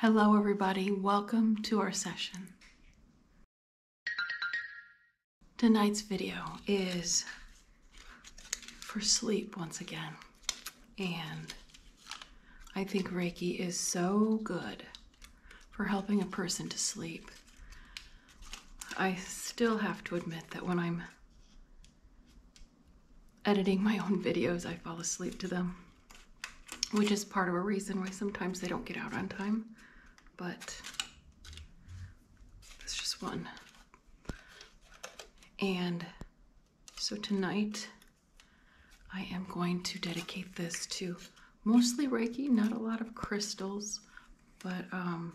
Hello, everybody. Welcome to our session. Tonight's video is for sleep once again. And I think Reiki is so good for helping a person to sleep. I still have to admit that when I'm editing my own videos, I fall asleep to them, which is part of a reason why sometimes they don't get out on time. But that's just one. And so tonight, I am going to dedicate this to mostly Reiki, not a lot of crystals, but um,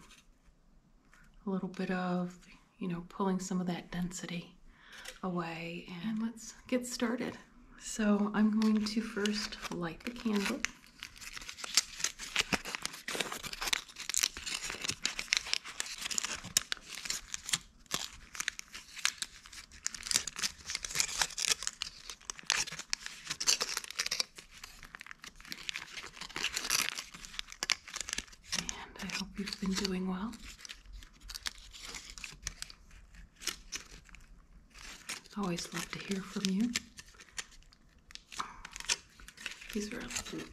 a little bit of, you know, pulling some of that density away and let's get started. So I'm going to first light the candle. And I hope you've been doing well. Always love to hear from you. These are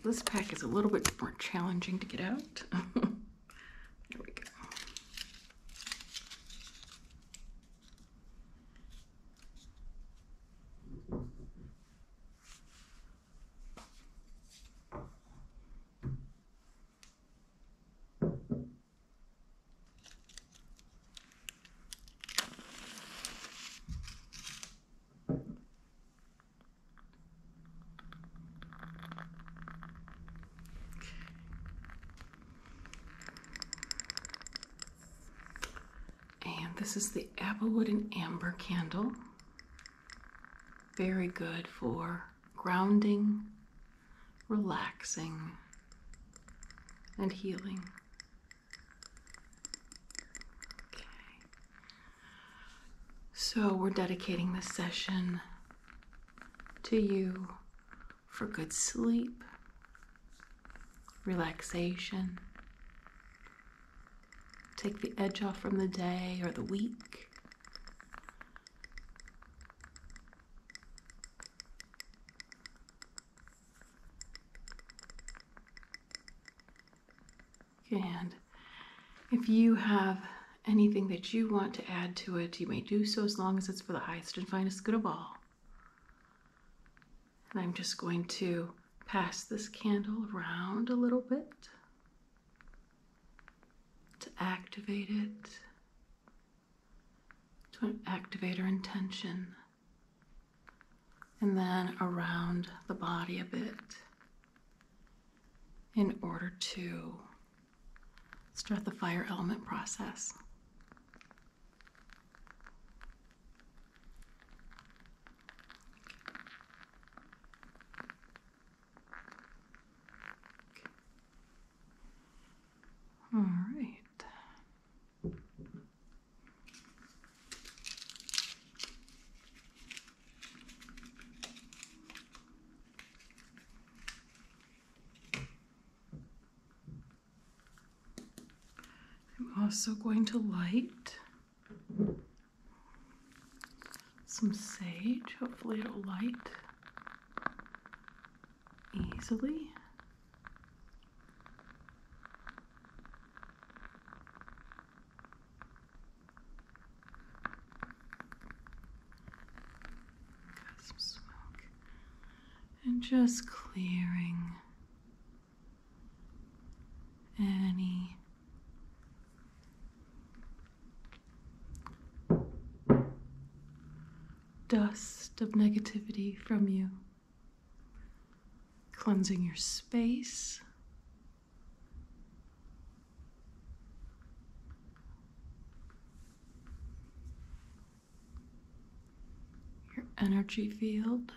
this pack is a little bit more challenging to get out. there we go. And this is the Applewood and Amber candle. Very good for grounding, relaxing, and healing. Okay. So, we're dedicating this session to you for good sleep, relaxation. Take the edge off from the day or the week. And if you have anything that you want to add to it, you may do so as long as it's for the highest and finest good of all. And I'm just going to pass this candle around a little bit to activate it, to activate our intention, and then around the body a bit in order to start the fire element process. All right. I'm also going to light some sage. Hopefully, it'll light easily. Got some smoke. And just clearing any dust of negativity from you, cleansing your space. your Energy field.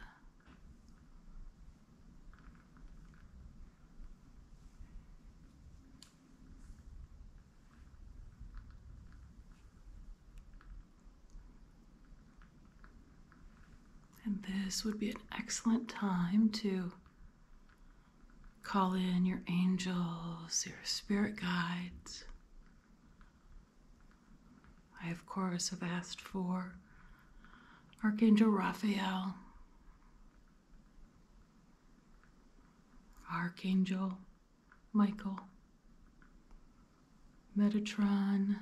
And this would be an excellent time to call in your angels, your spirit guides. I, of course, have asked for Archangel Raphael, Archangel Michael, Metatron,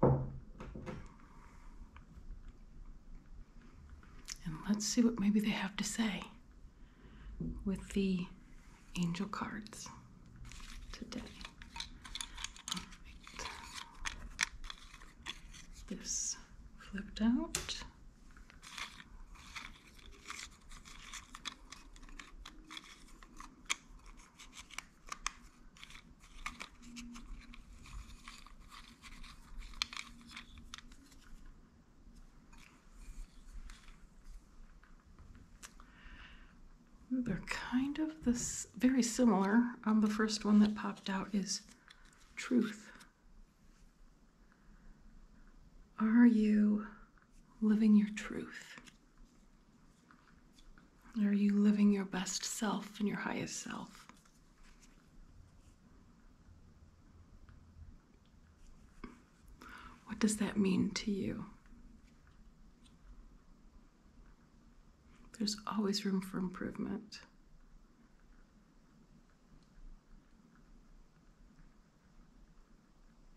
and let's see what maybe they have to say with the angel cards today. This flipped out. They're kind of this very similar. Um, the first one that popped out is Truth. Are you living your truth? Are you living your best self and your highest self? What does that mean to you? There's always room for improvement.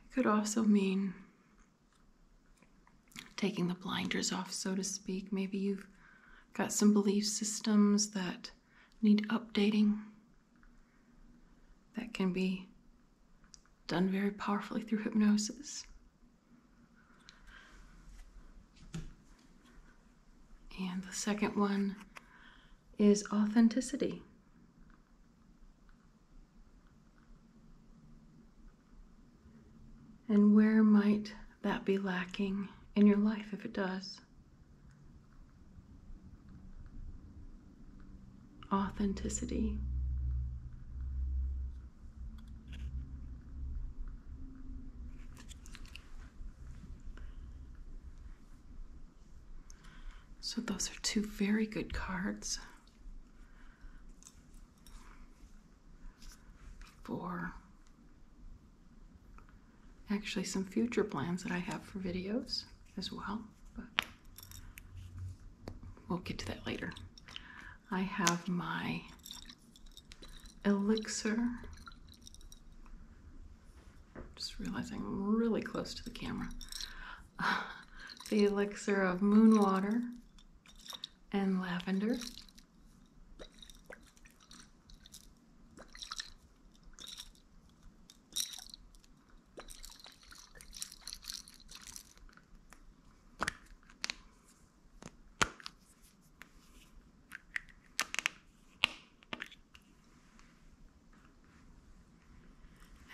It could also mean taking the blinders off, so to speak. Maybe you've got some belief systems that need updating. That can be done very powerfully through hypnosis. And the second one is authenticity. And where might that be lacking in your life if it does? Authenticity. So, those are two very good cards for actually some future plans that I have for videos as well. But we'll get to that later. I have my elixir just realizing I'm really close to the camera. the elixir of moon water and lavender.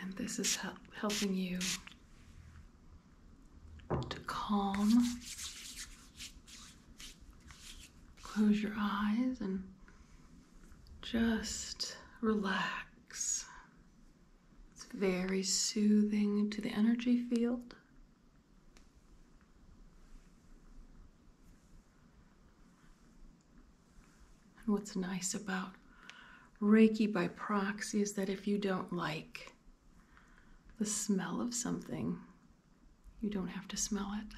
And this is helping you to calm. Close your eyes and just relax. It's very soothing to the energy field. And what's nice about Reiki by proxy is that if you don't like the smell of something, you don't have to smell it.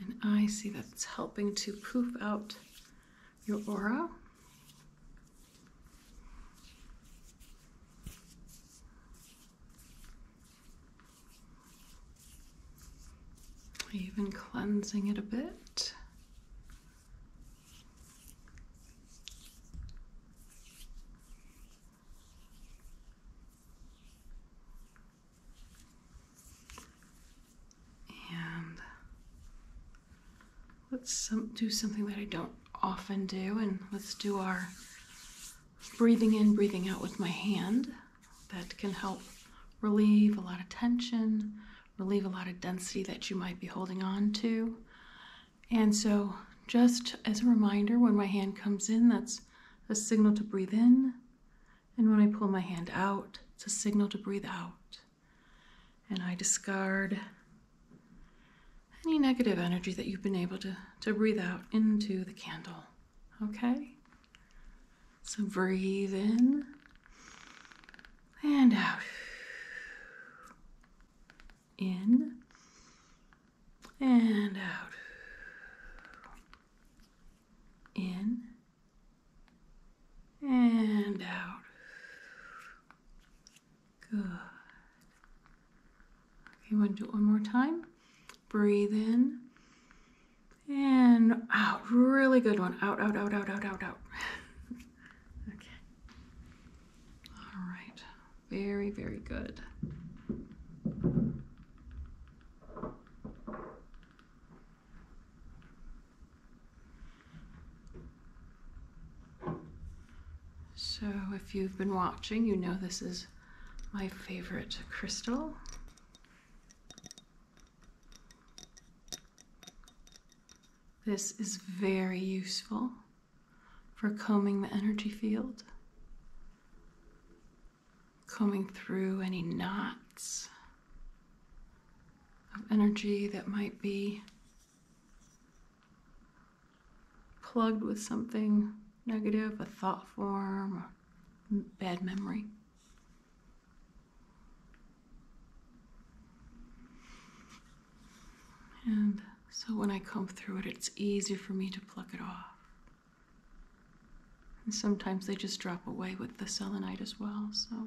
And I see that it's helping to poof out your aura. Even cleansing it a bit. And let's do something that I don't often do, and let's do our breathing in, breathing out with my hand. That can help relieve a lot of tension, relieve a lot of density that you might be holding on to. And so, just as a reminder, when my hand comes in, that's a signal to breathe in. And when I pull my hand out, it's a signal to breathe out. And I discard any negative energy that you've been able to, to breathe out into the candle. Okay? So breathe in and out. In and out in and out. Good. Okay, want to do it one more time. Breathe in and out. Really good one. Out, out, out, out, out, out, out. okay. All right. Very, very good. So if you've been watching, you know this is my favorite crystal. This is very useful for combing the energy field combing through any knots of energy that might be plugged with something negative, a thought form, a bad memory. And so when I comb through it, it's easy for me to pluck it off. And sometimes they just drop away with the selenite as well, so.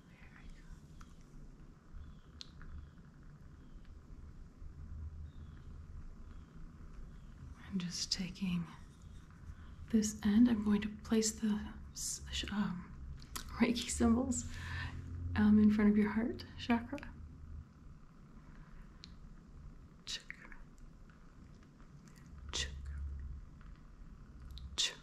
I'm just taking this end. I'm going to place the um, Reiki symbols um, in front of your heart chakra. Chakra. Chakra. Chakra.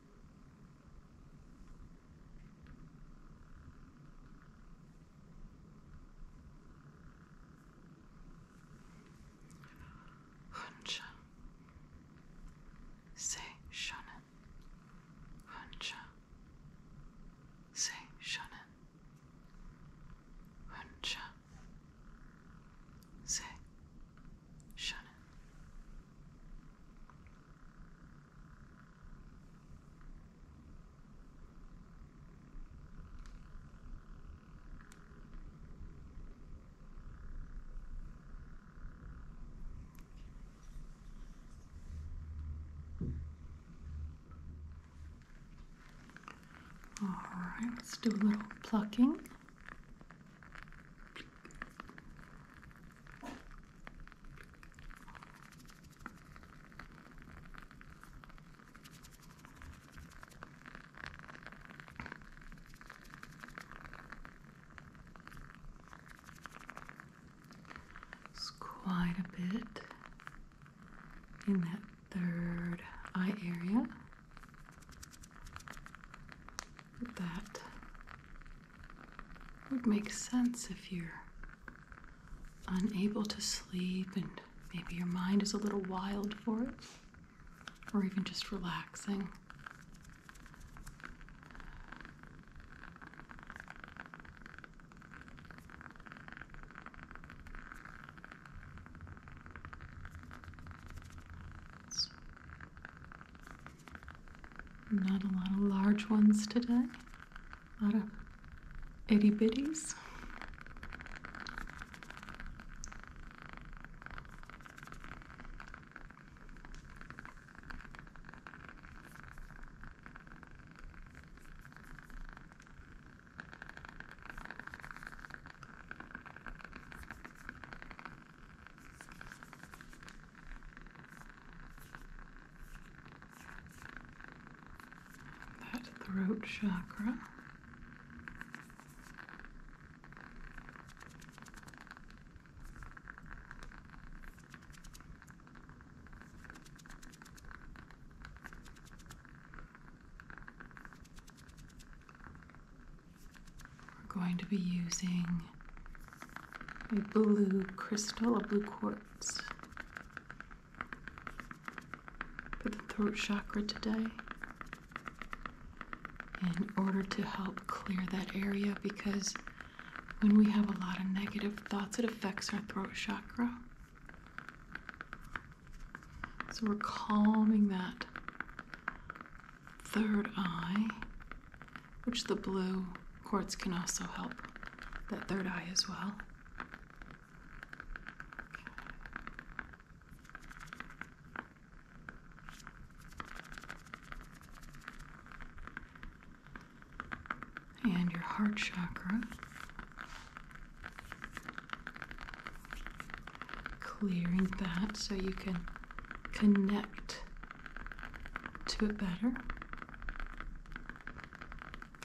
Huncha Se Shonen Huncha Se Shonen Huncha Se Shonen all right, let's do a little plucking quite a bit in that third eye area. That would make sense if you're unable to sleep and maybe your mind is a little wild for it, or even just relaxing. Not a lot of large ones today. A lot of itty bitties. That throat chakra. We're going to be using a blue crystal, a blue quartz for the throat chakra today in order to help clear that area because when we have a lot of negative thoughts, it affects our throat chakra. So we're calming that third eye, which the blue quartz can also help that third eye as well. and your heart chakra. Clearing that so you can connect to it better.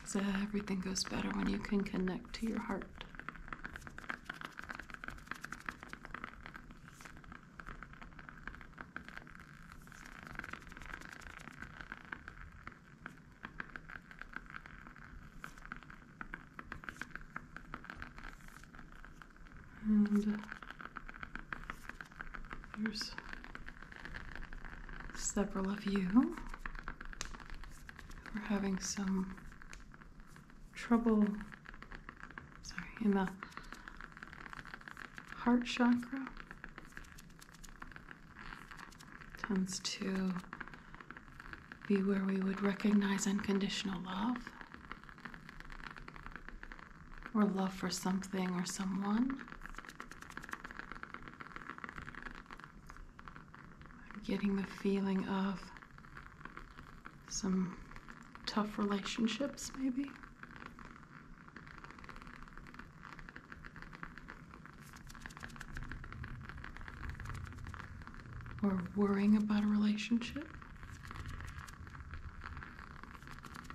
because everything goes better when you can connect to your heart. And here's several of you who are having some trouble sorry, in the heart chakra. Tends to be where we would recognize unconditional love or love for something or someone. I'm getting the feeling of some tough relationships, maybe. Or worrying about a relationship.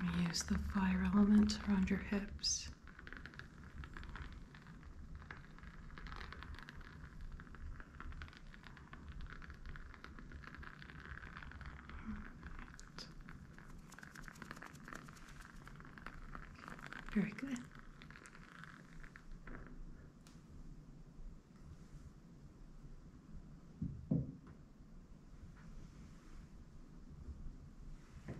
I'm gonna use the fire element around your hips. Very good. And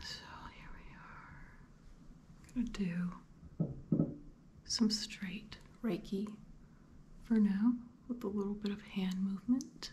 so here we are. I'm gonna do some straight Reiki for now with a little bit of hand movement.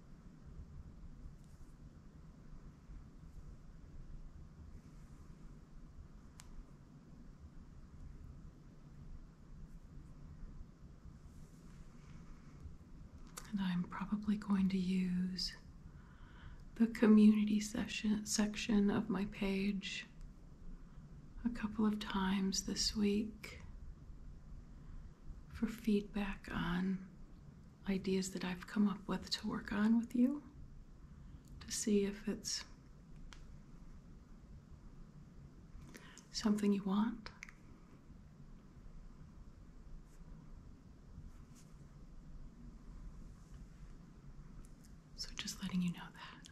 And I'm probably going to use the community session section of my page a couple of times this week for feedback on ideas that I've come up with to work on with you to see if it's something you want. So just letting you know that.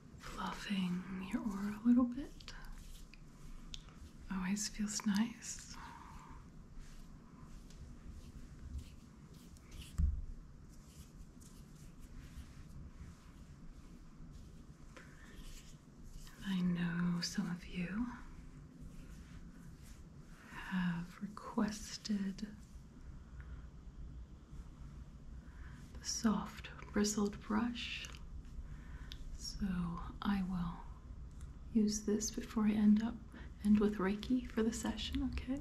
fluffing your aura a little bit. Always feels nice. I know some of you have requested the soft bristled brush. So I will use this before I end up end with Reiki for the session, okay?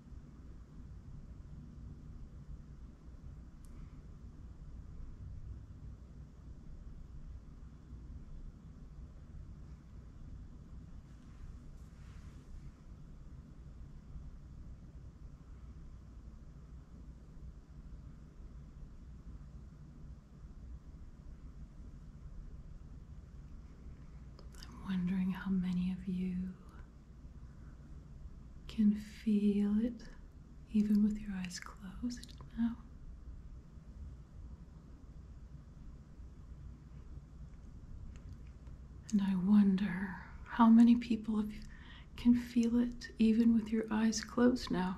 I'm wondering how many of you can feel it even with your eyes closed now. And I wonder how many people can feel it even with your eyes closed now.